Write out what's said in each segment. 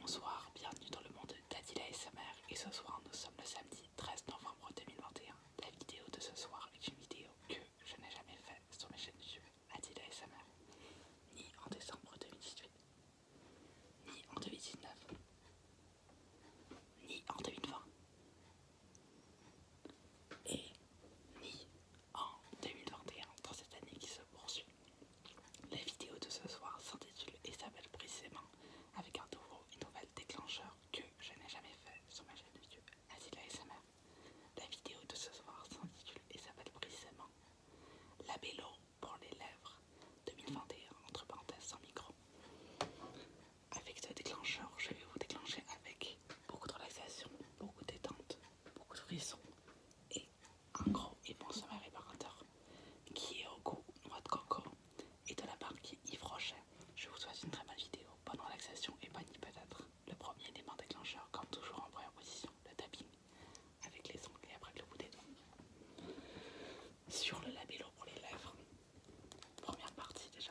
Bonsoir, bienvenue dans le monde d'Adila mère et ce soir nous sommes le samedi 13 novembre 2021. La vidéo de ce soir est une vidéo que je n'ai jamais faite sur mes chaînes YouTube Adila mère ni en décembre 2018, ni en 2019, ni en 2020, et ni en 2021 dans cette année qui se poursuit. La vidéo de ce soir s'intitule et s'appelle précisément avec un nouveau et nouvel déclencheur que je n'ai jamais fait sur ma chaîne YouTube Asila ASMR. La vidéo de ce soir s'intitule et s'appelle précisément La pour les lèvres 2021 entre parenthèses sans micro. Avec ce déclencheur, je vais vous déclencher avec beaucoup de relaxation, beaucoup de détente, beaucoup de frissons et un gros et sommeil réparateur qui est au goût noix de coco et de la marque y Je vous souhaite une très bonne vidéo, bonne relaxation et bonne peut-être. Le premier élément déclencheur, comme toujours en première position, le tapping avec les ongles et après le bout des doigts. Sur le labello pour les lèvres, première partie déjà.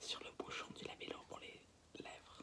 Sur le bouchon du labello pour les lèvres.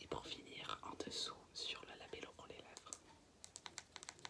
Et pour finir, en dessous, sur le label pour les lèvres.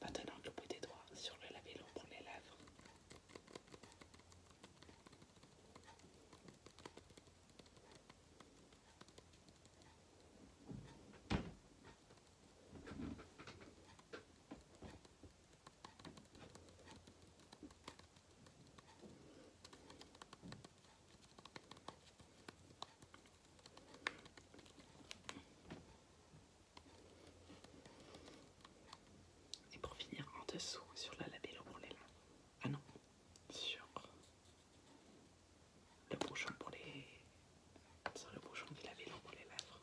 Maintenant le bout des doigts sur le lavello pour les lèvres. Et pour finir en dessous sur la l'eau pour les lèvres. Ah non, sur le bouchon pour les. Sur le bouchon du l'eau pour les lèvres.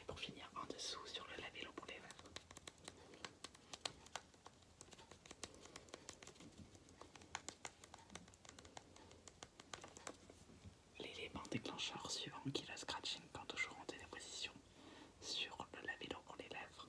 Et pour finir, en dessous sur le labello pour les lèvres. L'élément déclencheur suivant qui est le scratching quand toujours en téléposition sur le labello pour les lèvres.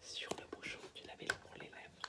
Sur le bouchon du l'avais pour les lèvres,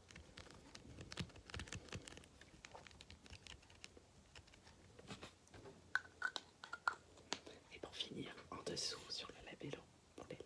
Et pour finir, en dessous sur le labello pour les lèvres.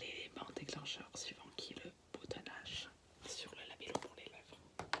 L'élément déclencheur suivant qui le boutonnage sur le label pour les lèvres.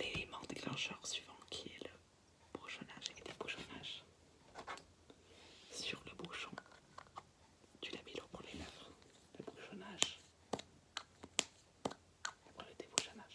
L'élément déclencheur suivant qui est le bouchonnage et débouchonnage sur le bouchon du mis pour les lèvres, le bouchonnage après le débouchonnage.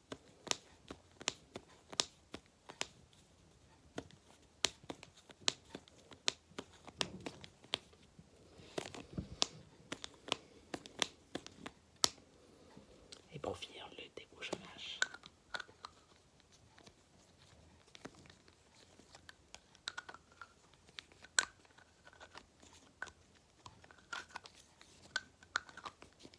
Et pour finir le débouchage.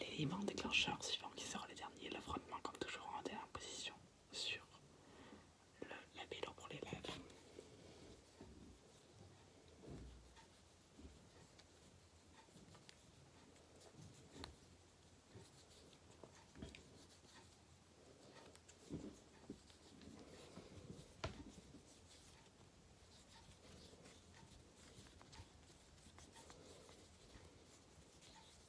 Les L'élément déclencheurs suivant qui sera les derniers, l'affrontement comme toujours en dernière position sur le, la pour les lèvres.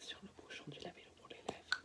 sur le bouchon du vélo pour les lèvres.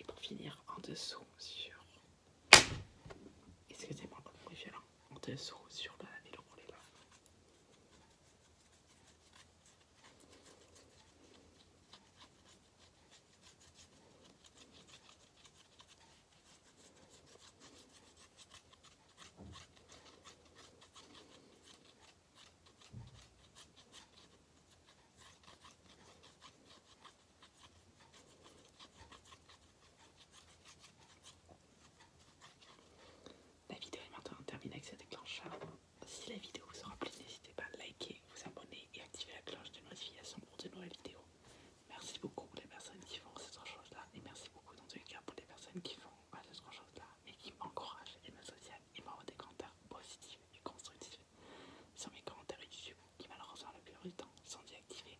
Et pour finir, en dessous sur... Excusez-moi le bruit En dessous sur la vélo la vidéo est maintenant terminée avec cette déclencheur. Si la vidéo vous aura plu, n'hésitez pas à liker, vous abonner et activer la cloche de notification pour de nouvelles vidéos. Merci beaucoup pour les personnes qui font ces trois choses-là et merci beaucoup dans tous les cas pour les personnes qui font pas bah, ces trois choses-là et qui m'encouragent et me soutiennent et m'envoient des commentaires positifs et constructifs sur mes commentaires YouTube qui malheureusement le plupart du temps sont désactivés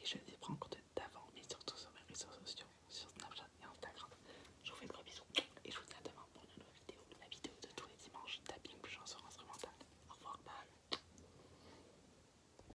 et je les prends en compte d'avant mais surtout sur mes réseaux sociaux, sur Snapchat et Instagram. Je vous fais de gros bisous et je vous dis à demain pour une nouvelle vidéo, la vidéo de tous les dimanches tapping plus chanson instrumentale. Au revoir, bye